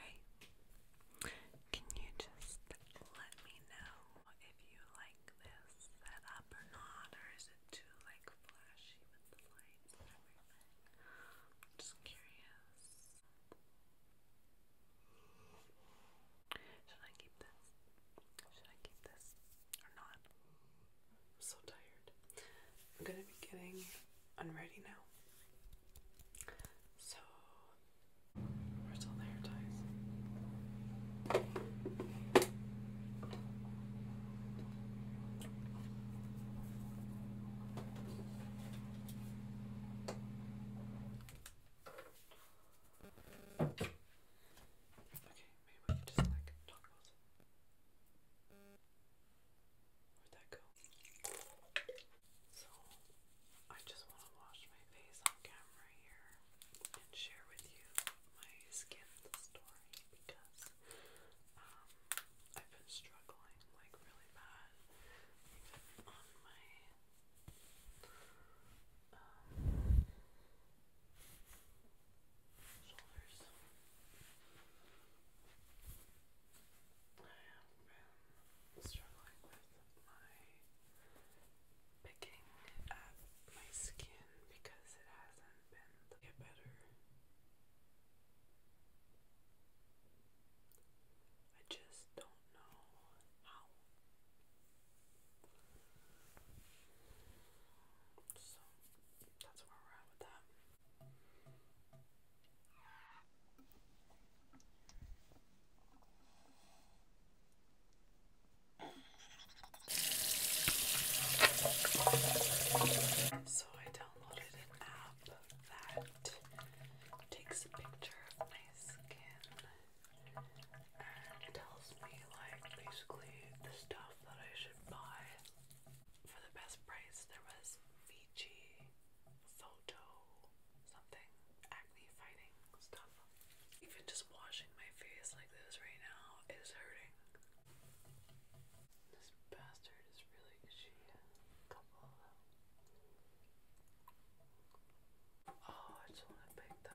Hey, can you just let me know if you like this setup or not, or is it too like flashy with the lights and everything? I'm just curious. Should I keep this? Should I keep this or not? I'm so tired. I'm gonna be getting unready now. So, where's all the hair ties? Okay, maybe we just like toggles. Where'd that go? So, I just want to wash my face on camera here and share with you my skin story because um, I've been struggling like really bad even on my um, shoulders struggling with my picking at my skin because it hasn't been get better. I just don't know how. So that's where we're at with that. So I downloaded an app that takes a picture of my skin and tells me like basically the stuff that I should buy. For the best price there was Fiji photo something acne fighting stuff. Even just washing my face like this right now is hurting. This bastard is really itchy. Oh, I just want to pick that.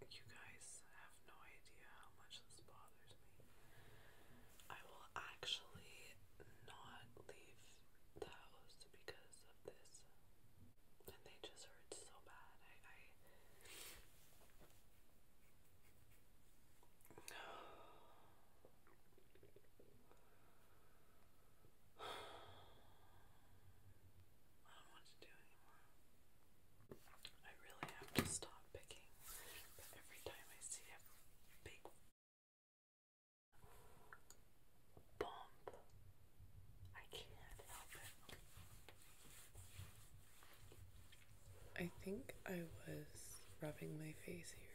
Like, you guys have no idea how much this bothers me. I will actually not leave the house because of this. And they just hurt so bad. I I don't know to do anymore. I really have to stop picking, but every time I see a bump, I can't help it. I think I was rubbing my face here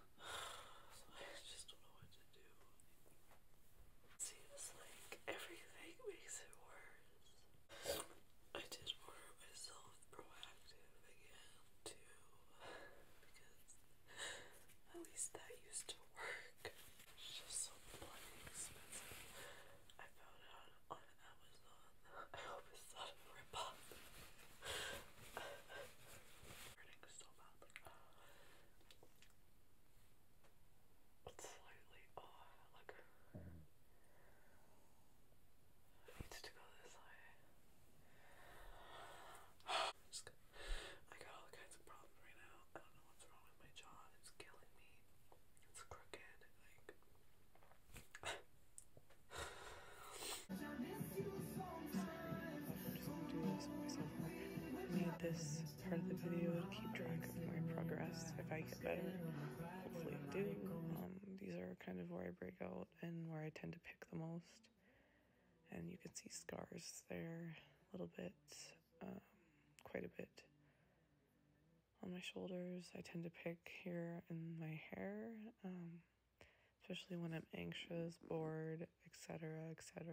so I just don't know what to do. Seems like everything makes it worse. I did order myself proactive again too because at least that used to work. It's just so bloody expensive. I found it on, Amazon. I hope it's not a rip hurting slightly, oh, like I need to go this way. I got all kinds of problems right now. I don't know what's wrong with my jaw. It's killing me. It's crooked. Like made this part of the video to keep track of my progress if I get better. Hopefully I do. Um, these are kind of where I break out and where I tend to pick the most. And you can see scars there a little bit, quite a bit. On my shoulders, I tend to pick here in my hair especially when I'm anxious, bored, etc., etc.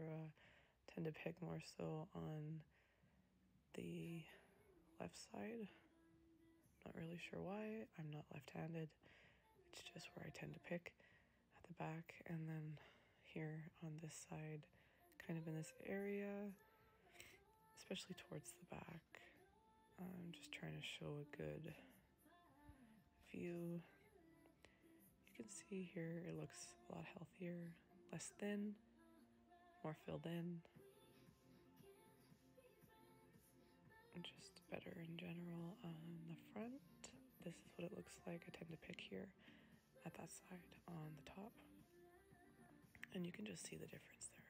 Tend to pick more so on the left side. Not really sure why. I'm not left handed. It's just where I tend to pick at the back and then here on this side, kind of in this area, especially towards the back. I'm just trying to show a good view, you can see here it looks a lot healthier, less thin, more filled in, just better in general on the front. This is what it looks like. I tend to pick here at that side on the top. And you can just see the difference there.